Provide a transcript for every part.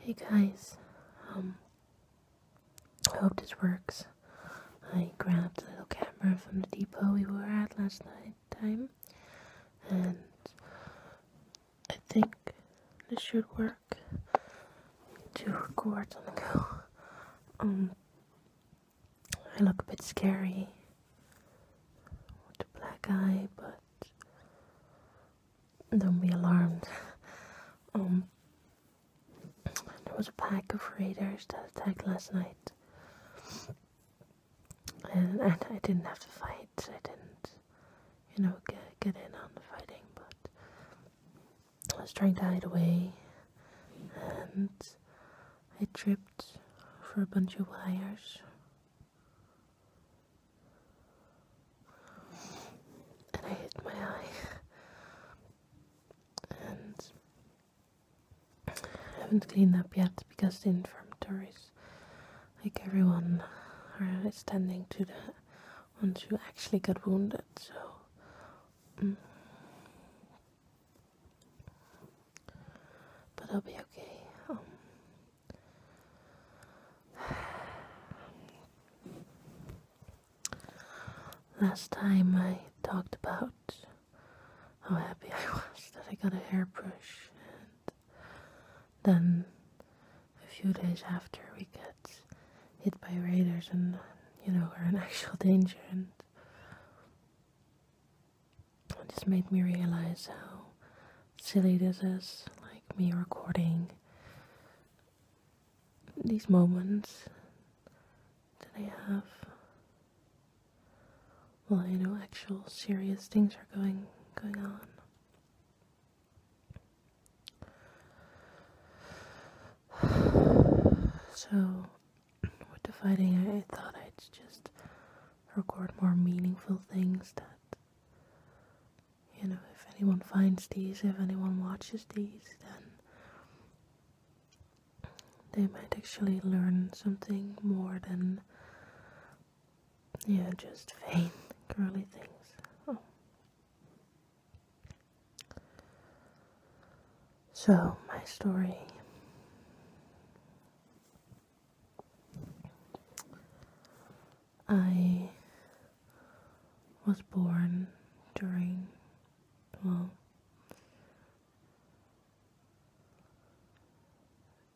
Hey guys, um, I hope this works. I grabbed a little camera from the depot we were at last night time, and I think this should work to record on the go. Um, I look a bit scary with a black eye, but don't be alarmed. Um, there was a pack of raiders that attacked last night, and I didn't have to fight. I didn't, you know, get get in on the fighting, but I was trying to hide away, and I tripped for a bunch of wires. And I hit my eye. And haven't cleaned up yet because the infirmaries, like everyone, are standing to the ones who actually got wounded. So. Mm. But I'll be okay. Um, last time I talked about how happy I was that I got a hairbrush, and then a few days after we get hit by raiders and you know we're in actual danger and it just made me realize how silly this is like me recording these moments that I have while well, you know actual serious things are going going on so with the fighting, I thought I'd just record more meaningful things that, you know, if anyone finds these, if anyone watches these, then they might actually learn something more than, yeah, just vain, girly things. Oh. So, my story. I was born during, well,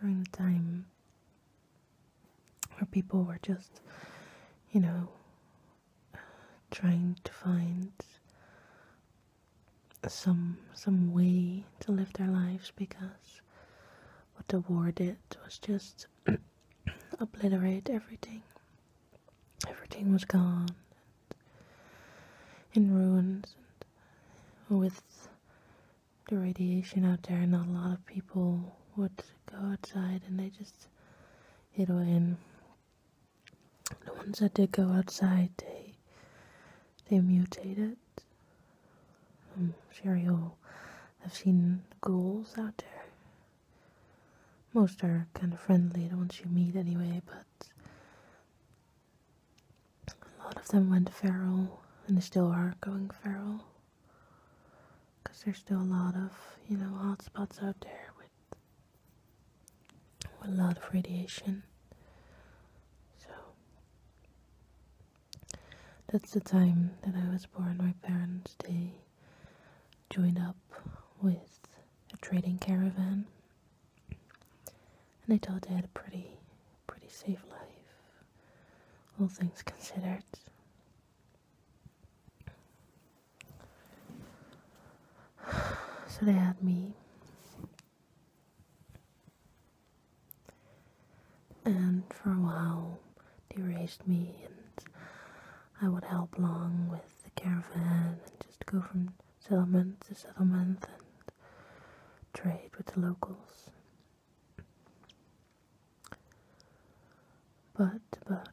during the time where people were just, you know, trying to find some some way to live their lives because what the war did was just obliterate everything. Everything was gone in ruins and with the radiation out there not a lot of people would go outside and they just hid in the ones that did go outside, they they mutated. I'm sure you'll have seen ghouls out there. Most are kind of friendly, the ones you meet anyway, but a lot of them went feral, and they still are going feral. Because there's still a lot of, you know, hotspots out there with a lot of radiation. So that's the time that I was born. My parents they joined up with a trading caravan, and they thought they had a pretty, pretty safe life, all things considered. So they had me. And for a while, they raised me, and I would help along with the caravan and just go from settlement to settlement and trade with the locals. But but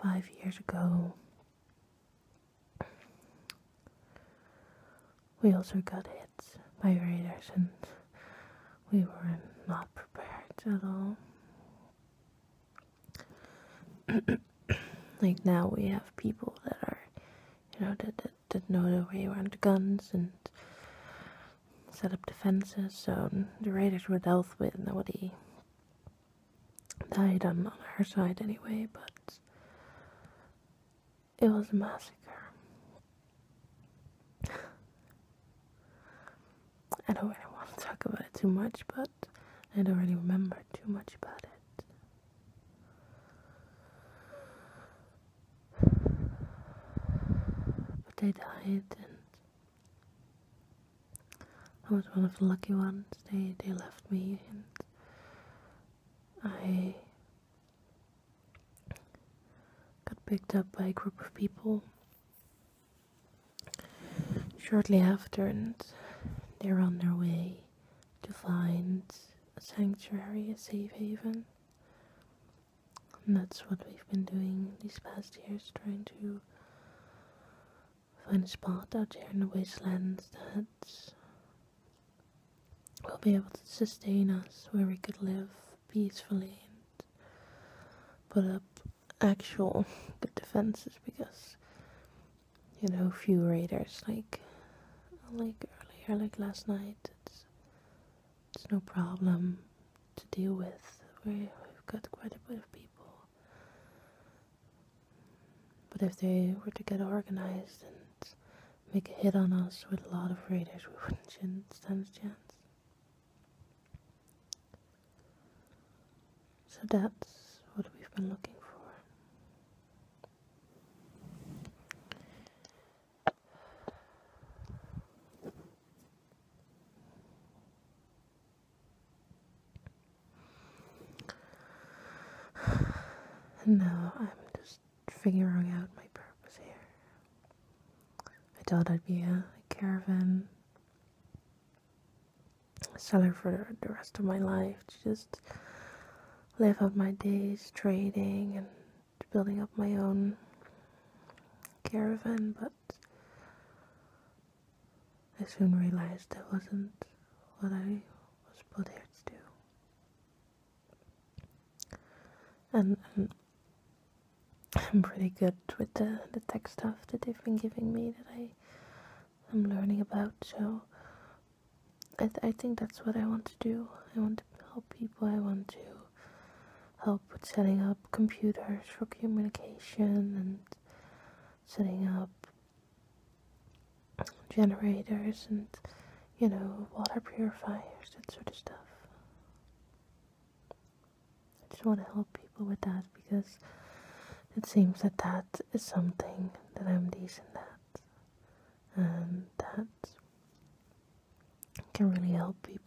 five years ago, we also got hit by raiders, and we were not prepared at all. like now we have people that are, you know, that, that, know the way around guns and set up defenses, so the raiders were dealt with, nobody died on, her side anyway, but it was a massacre. I don't really want to talk about it too much, but I don't really remember too much about it. But they died, and I was one of the lucky ones. They they left me, and I got picked up by a group of people shortly after, and they're on their way to find a sanctuary, a safe haven. And that's what we've been doing these past years, trying to find a spot out here in the wastelands that will be able to sustain us where we could live peacefully and put up actual good defenses because you know few raiders like like earlier like last night it's it's no problem to deal with we've got quite a bit of people but if they were to get organized and make a hit on us with a lot of raiders, we wouldn't stand a chance. So that's what we've been looking for. No, I'm just figuring out my purpose here. I thought I'd be a, caravan seller for the, the rest of my life to just live out my days trading and building up my own caravan, but I soon realized that wasn't what I was put here to do. And, I'm pretty good with the, the tech stuff that they've been giving me that I am learning about, so I, I think that's what I want to do. I want to help people, I want to help with setting up computers for communication and setting up generators and you know water purifiers that sort of stuff i just want to help people with that because it seems that that is something that i'm decent at and um, that can really help people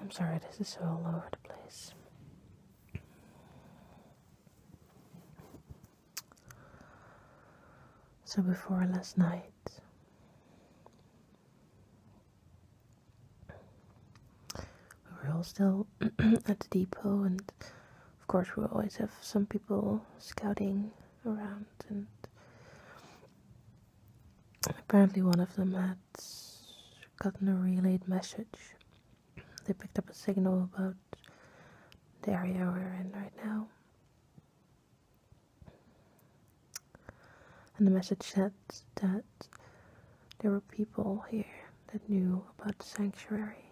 I'm sorry, this is all over the place. So, before last night, we are all still at the depot, and of course, we always have some people scouting around, and Apparently, one of them had gotten a relayed message. They picked up a signal about the area we're in right now. And the message said that there were people here that knew about the sanctuary,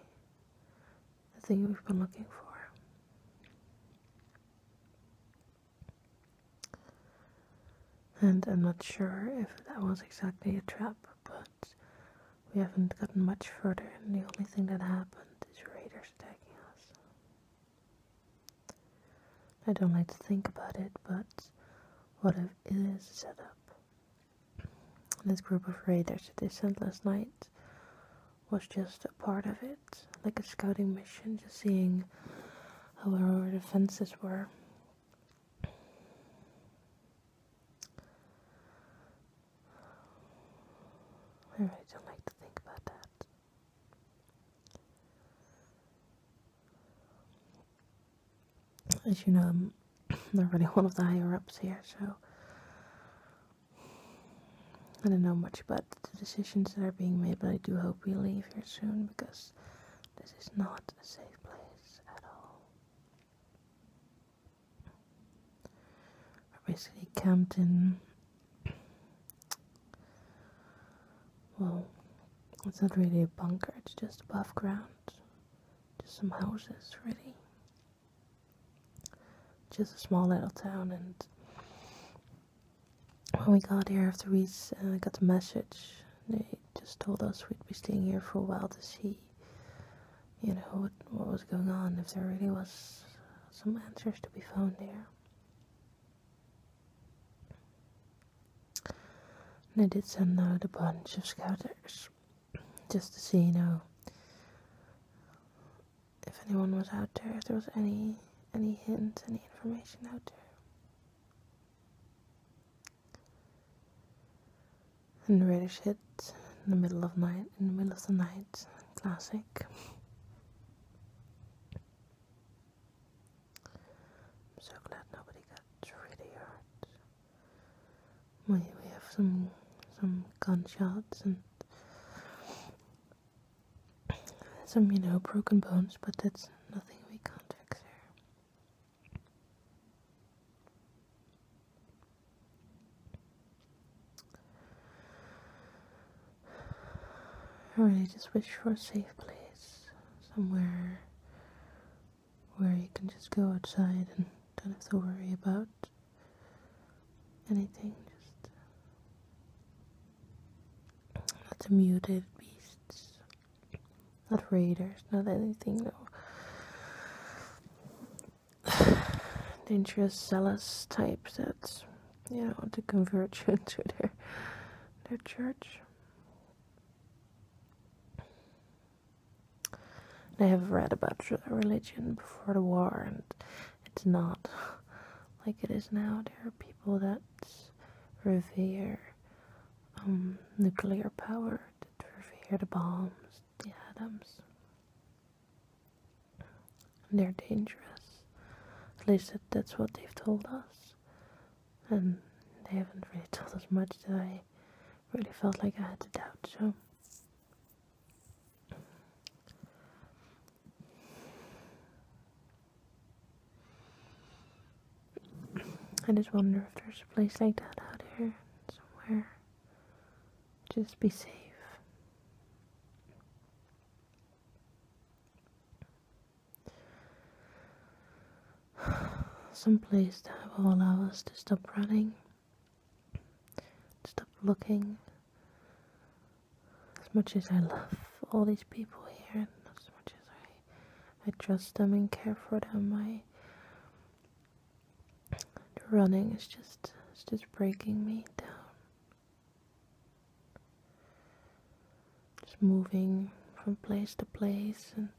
the thing we've been looking for. And I'm not sure if that was exactly a trap, but we haven't gotten much further, and the only thing that happened is raiders attacking us. I don't like to think about it, but what if it is set up, This group of raiders that they sent last night was just a part of it, like a scouting mission, just seeing how our defenses were. I really don't like to think about that. As you know, I'm not really one of the higher ups here, so I don't know much about the decisions that are being made, but I do hope we leave here soon because this is not a safe place at all. We're basically camped in. Well, it's not really a bunker, it's just above ground. Just some houses, really. Just a small little town, and when we got here after we uh, got the message, they just told us we'd be staying here for a while to see, you know, what, what was going on, if there really was some answers to be found there. And I did send out a bunch of scouters, just to see, you know, if anyone was out there, if there was any any hints, any information out there. And the reddish hit in the middle of night in the middle of the night. Classic. I'm so glad nobody got really hurt. We we have some some gunshots and some, you know, broken bones, but that's nothing we can't fix here. I really just wish for a safe place, somewhere where you can just go outside and don't have to worry about anything, just not muted beasts, not raiders, not anything, no dangerous zealous types that you know to convert you into their their church. I have read about religion before the war and it's not like it is now. There are people that revere um, nuclear power, that revere the bombs, the atoms. they're dangerous. At least that, that's what they've told us. And they haven't really told us much that I really felt like I had to doubt, so I just wonder if there's a place like that out there, somewhere. Just be safe. Some place that will allow us to stop running Stop looking. As much as I love all these people here, and as much as I, I trust them and care for them, I the running is just it's just breaking me down. Just moving from place to place and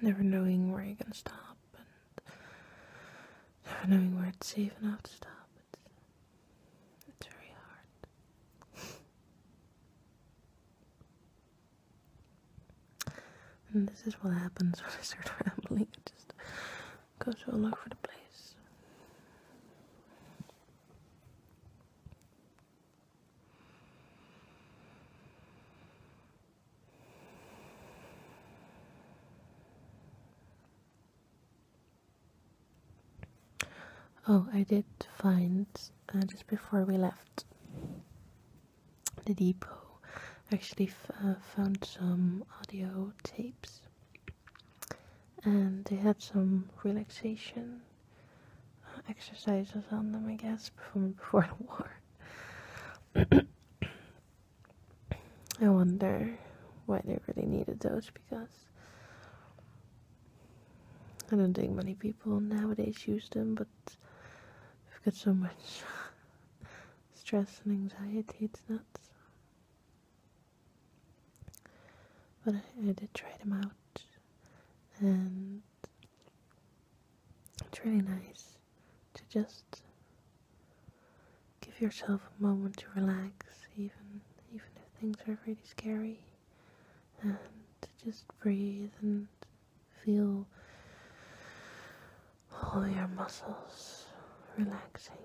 never knowing where you're gonna stop never knowing where it's safe enough to stop. It's, very hard. and this is what happens when I start rambling. I just goes all over the place. Oh, I did find uh, just before we left the depot, actually uh, found some audio tapes, and they had some relaxation uh, exercises on them, I guess, from before the war. I wonder why they really need a Doge because I don't think many people nowadays use them, but we've got so much stress and anxiety, it's nuts. But I did try them out, and it's really nice to just give yourself a moment to relax, even even if things are really scary, and to just breathe and feel all your muscles relaxing.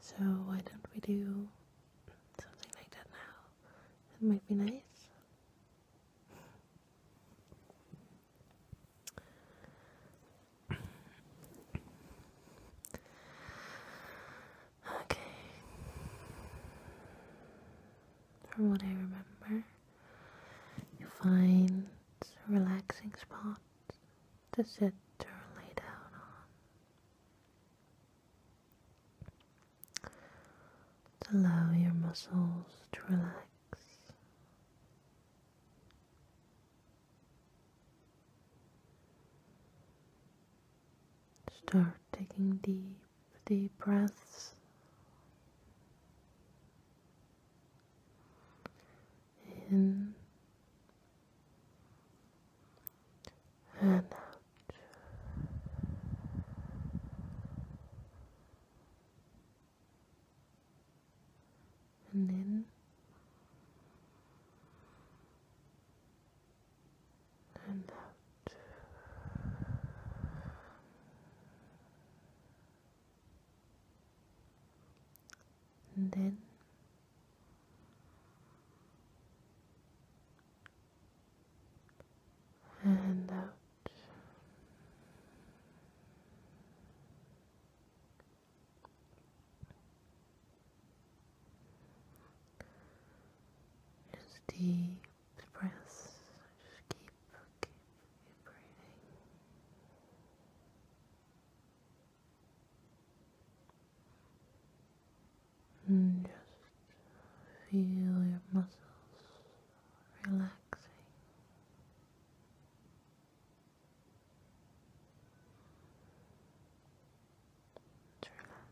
So why don't we do something like that now. It might be nice. Okay. From what I remember, you find a relaxing spot to sit or lay down on allow your muscles to relax. Start taking deep, deep breaths. In and out and then and out. And then and out. Just deep breaths. Just keep, keep, keep breathing. And just feel your muscles relaxing. Just